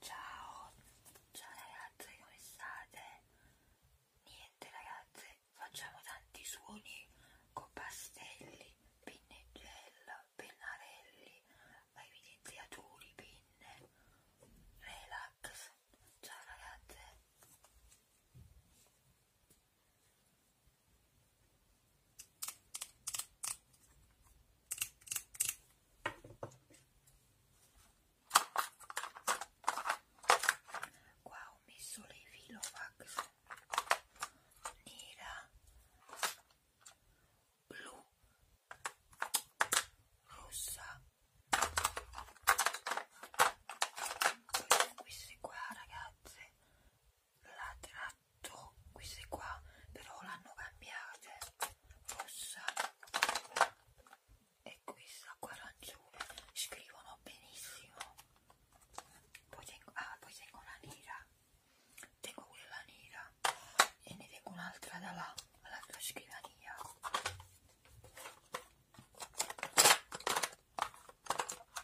Ciao, ciao ragazze, come state? Niente ragazze, facciamo tanti suoni con pastelli, pinne e gel, pennarelli, evidenziatori, pinne, relax. Ciao ragazze. Qua ho messo le filovax nera, blu, rossa. Poi queste qua ragazze sempre la tratto queste qua però l'hanno cambiate rossa e questa qua arancione scrivono benissimo poi tengo, ah, poi tengo la nera tengo quella nera e ne tengo un'altra da là all'altra scrivania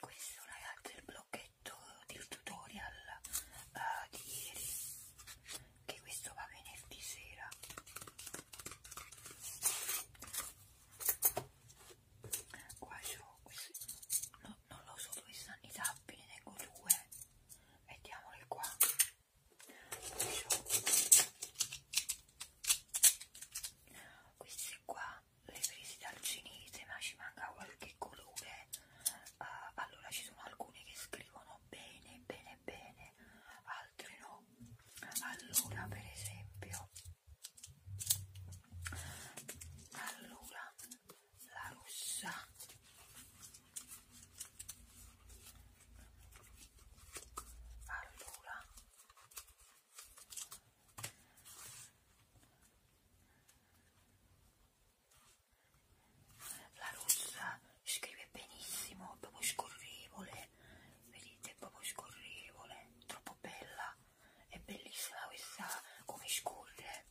questo ragazzi è il blocchetto del tutorial uh, di ieri che questo va venerdì sera qua c'ho no, non lo so dove stanno i tappi ne tengo due mettiamoli qua questi qua le presi dal cinese ma ci manca qualche colore uh, allora ci sono alcune che scrivono bene bene bene altre no allora per esempio allora la rossa allora la rossa scrive benissimo, proprio scorrevole, vedete, proprio scorrevole, troppo bella, è bellissima questa come scorre.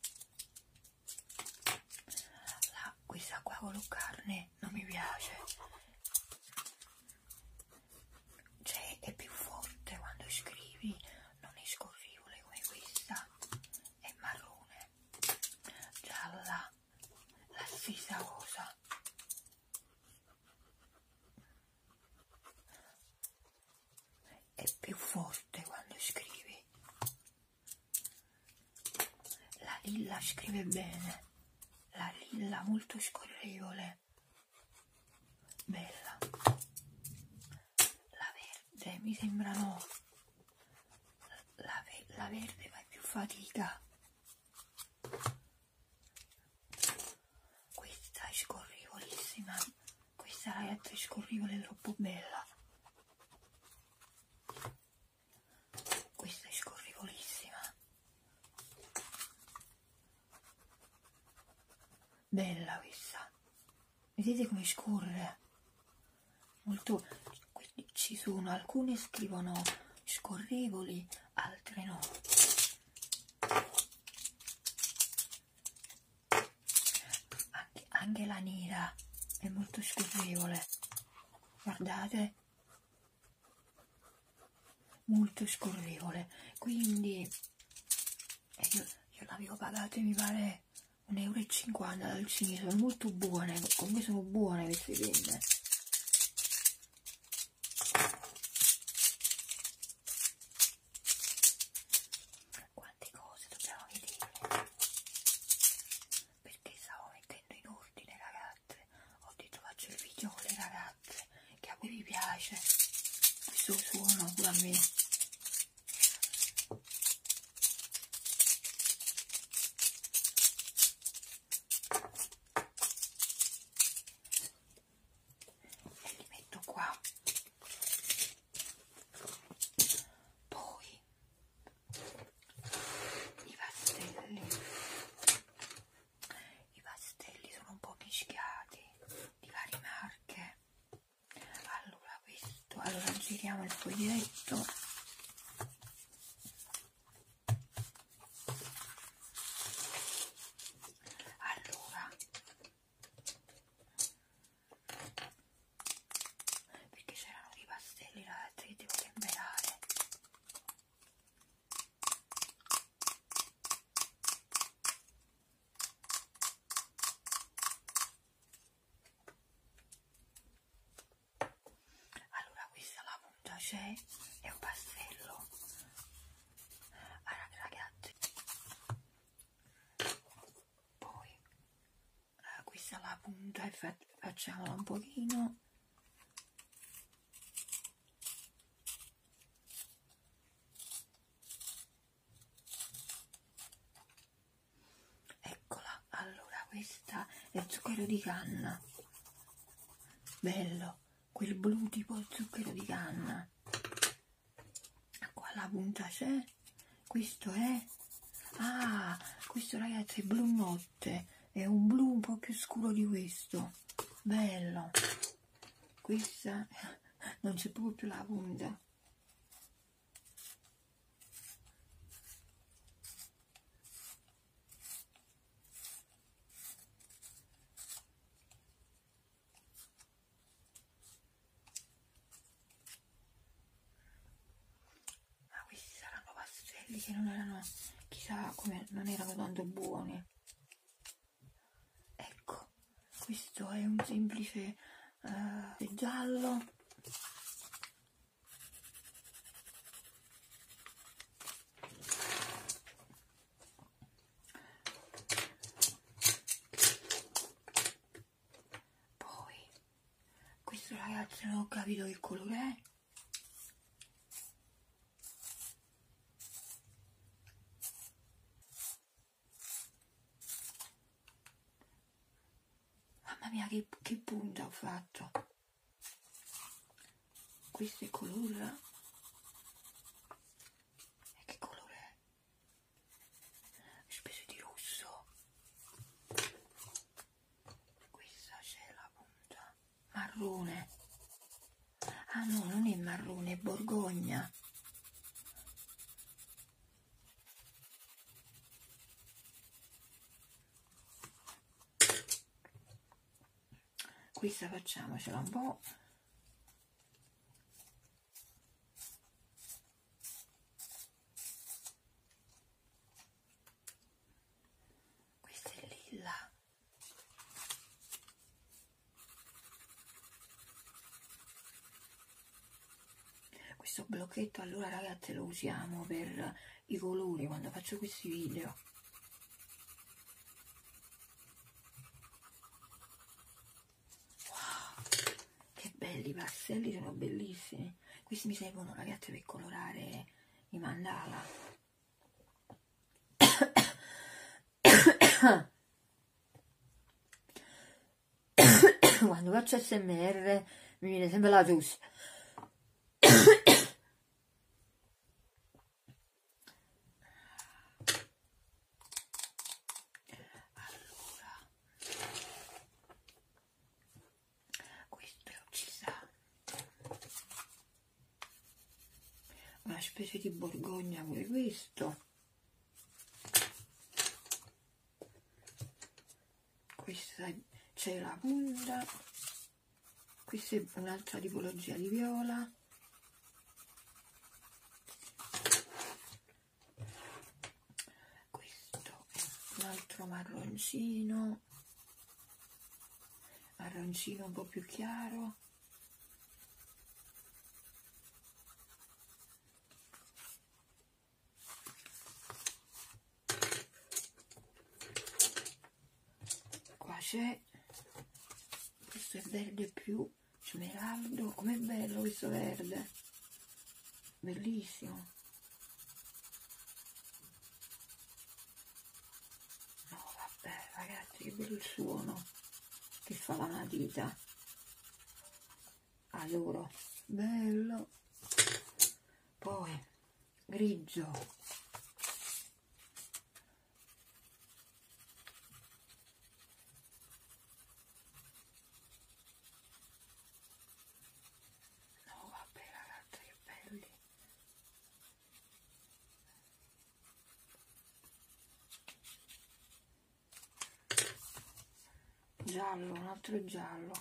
La, questa qua con la carne non mi piace cioè è più forte quando scrivi non è scorrevole come questa è marrone gialla la stessa cosa è più forte quando scrivi la lilla scrive bene la lilla molto scorrevole bella la verde mi sembra no la, ve la verde fa più fatica questa è scorrivolissima questa ragazza è scorrivole troppo bella questa è scorrivolissima bella questa vedete come scorre molto quindi ci sono alcune scrivono scorrevoli altre no anche, anche la nera è molto scorrevole guardate molto scorrevole quindi e io, io l'avevo pagata mi pare 1,50 euro dal cinese sono molto buone comunque sono buone queste penne quante cose dobbiamo vedere perché stavo mettendo in ordine ragazze ho detto faccio il video con le ragazze che a voi vi piace questo suono pure a me e li metto qua poi i pastelli i pastelli sono un po' mischiati di varie marche allora questo allora giriamo il foglietto allora perché c'erano dei pastelli là che devo temperare allora questa la punta c'è è un pastello ragazzi poi eh, questa la punta e fa facciamola un pochino eccola allora questa è zucchero di canna bello quel blu tipo zucchero di canna qua la punta c'è questo è ah questo ragazzi è blu notte è un blu un po' più scuro di questo bello questa non c'è proprio più la punta Ah, questi saranno pastelli che non erano chissà come non erano tanto buoni ecco questo è un semplice eh, giallo poi questo ragazzi non ho capito che colore è Mamma mia che, che punta ho fatto. Questo è colore. E che colore è? Spesso di rosso. Questa c'è la punta. Marrone. Ah no, non è marrone, è borgogna questa facciamocela un po' questa è lilla questo blocchetto allora ragazze lo usiamo per i colori quando faccio questi video wow, che belli i pastelli sono bellissimi questi mi servono ragazze per colorare i mandala quando faccio smr mi viene sempre la tosse allora questo ci sa una specie di borgogna pure questo questa c'è la bulla questa è un'altra tipologia di viola questo è un altro marroncino marroncino un po' più chiaro qua c'è questo è verde più smeraldo com'è bello questo verde bellissimo no vabbè ragazzi che bello il suono che fa la matita allora ah, bello poi grigio no vabbè ragazzi che belli giallo un altro giallo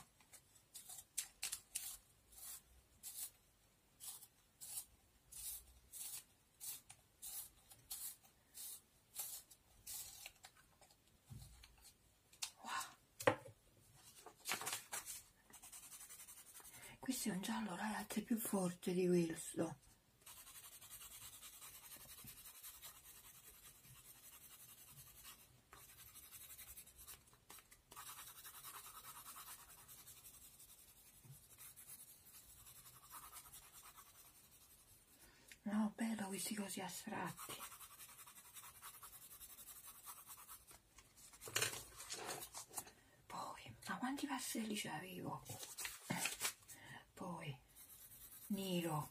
wow. questo è un giallo ragazzi più forte di questo No, bello questi così astratti. Poi, ma quanti vasselli c'avevo? Poi, nero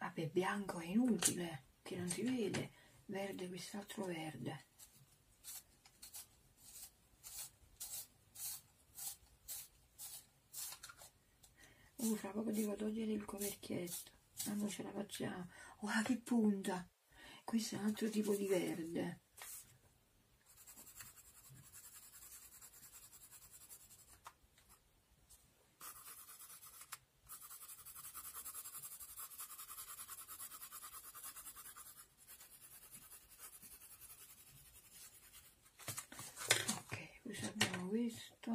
Vabbè, bianco è inutile che non si vede verde quest'altro verde uh fra poco devo togliere il coperchietto ma ah, non ce la facciamo guarda oh, che punta questo è un altro tipo di verde ok qui abbiamo questo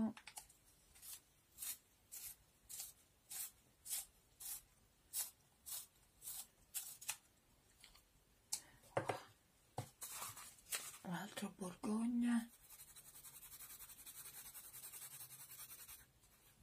un altro borgogna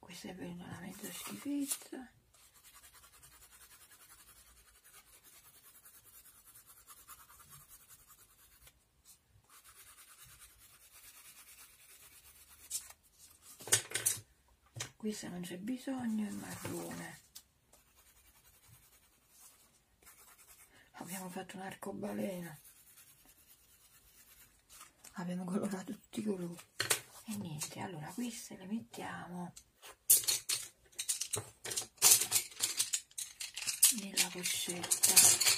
questa è veramente schifezza qui se non c'è bisogno è marrone abbiamo fatto un arcobaleno abbiamo colorato tutti i colori e niente allora queste le mettiamo nella pochetta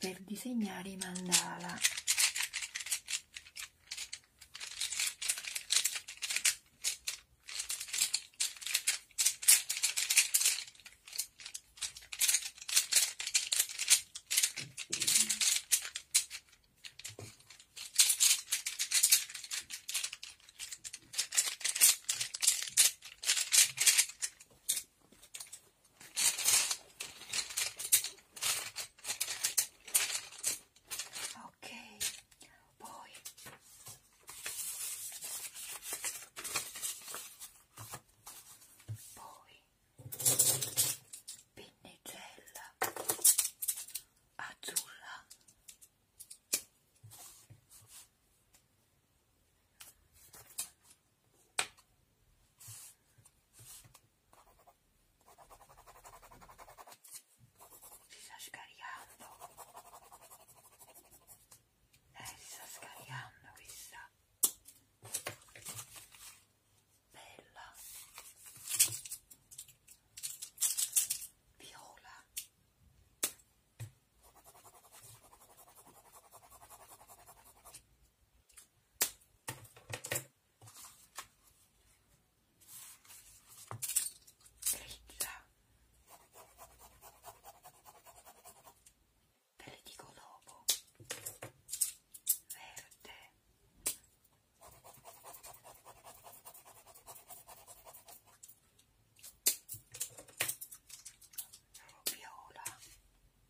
per disegnare i mandala Ok, poi poi pinnicella azzurra si sta scaricando lei eh, si sta scaricando questa bella viola grigia te le dico dopo verde viola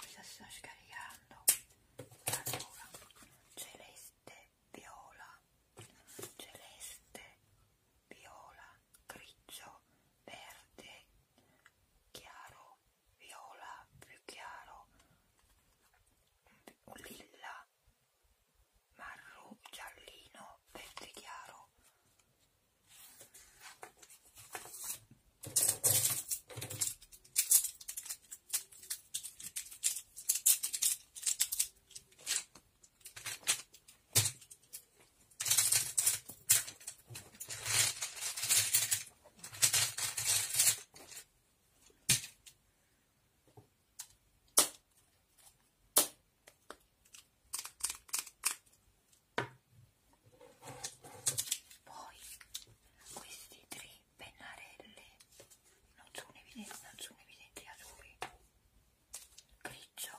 Questa sta scaricando allora celeste, viola, celeste, viola, grigio, verde chiaro, viola, più chiaro, un lilla, marro, giallino, verde chiaro. Poi questi tre pennarelli non sono evidenti, non sono evidenti a lui grigio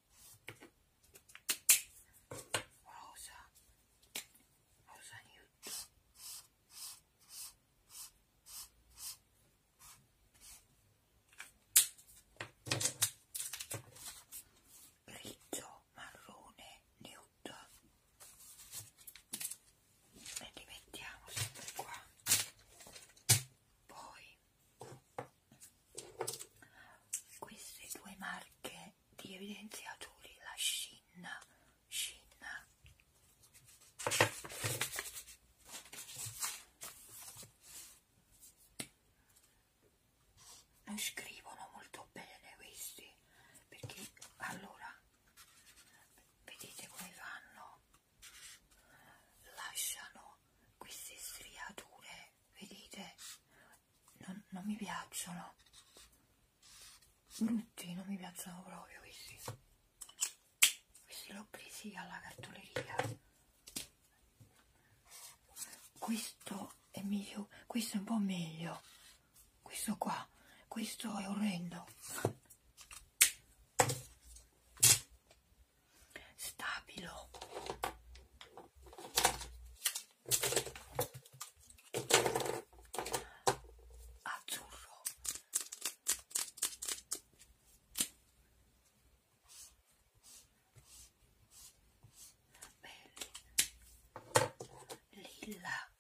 Rosa Rosa Newton grigio marrone Newton e li mettiamo sempre qua poi queste due marche di evidenziatori la Shinna Shinna non scrivono molto bene questi perché allora vedete come fanno lasciano queste striature vedete non, non mi piacciono brutti non mi piacciono proprio questi questi li ho presi alla cartoleria questo è meglio questo è un po' meglio questo qua questo è orrendo stabilo azzurro belli lilla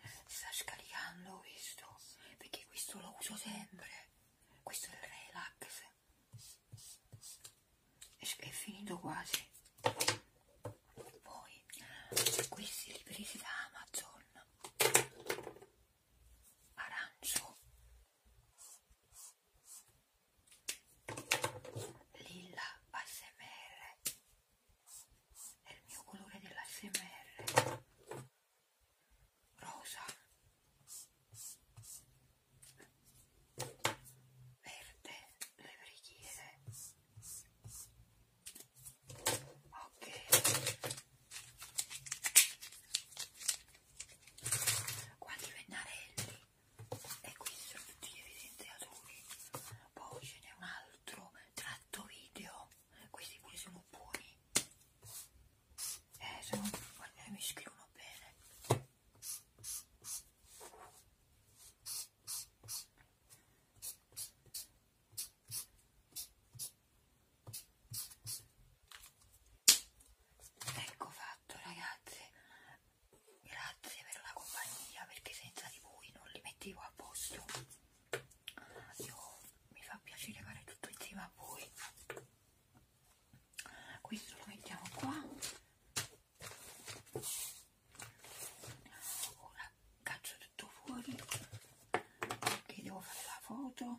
si sta scaricando questo perché questo lo uso sempre questo è il relax è finito quasi poi questi li presi da Amazon arancio lilla ASMR è il mio colore dell'ASMR rosa verde le preghiere ok quanti pennarelli e qui sono tutti gli evidenziatori poi ce n'è un altro tratto video questi pure sono buoni eh sono mi scrivono bene Ecco fatto ragazze, grazie per la compagnia perché senza di voi non li mettevo a posto. Io mi fa piacere fare tutto insieme a voi questo lo mettiamo qua ora caccio tutto fuori perché devo fare la foto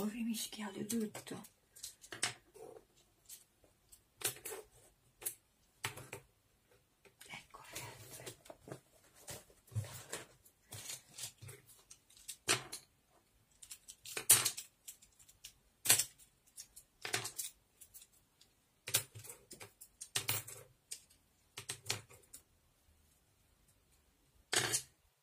ho rimischiato tutto ecco le altre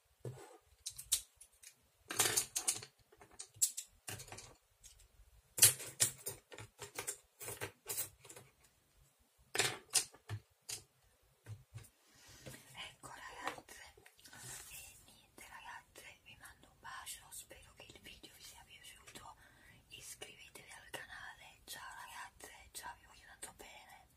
Ecco ragazze, e niente ragazze, vi mando un bacio, spero che il video vi sia piaciuto, iscrivetevi al canale, ciao ragazze, ciao vi voglio tanto bene.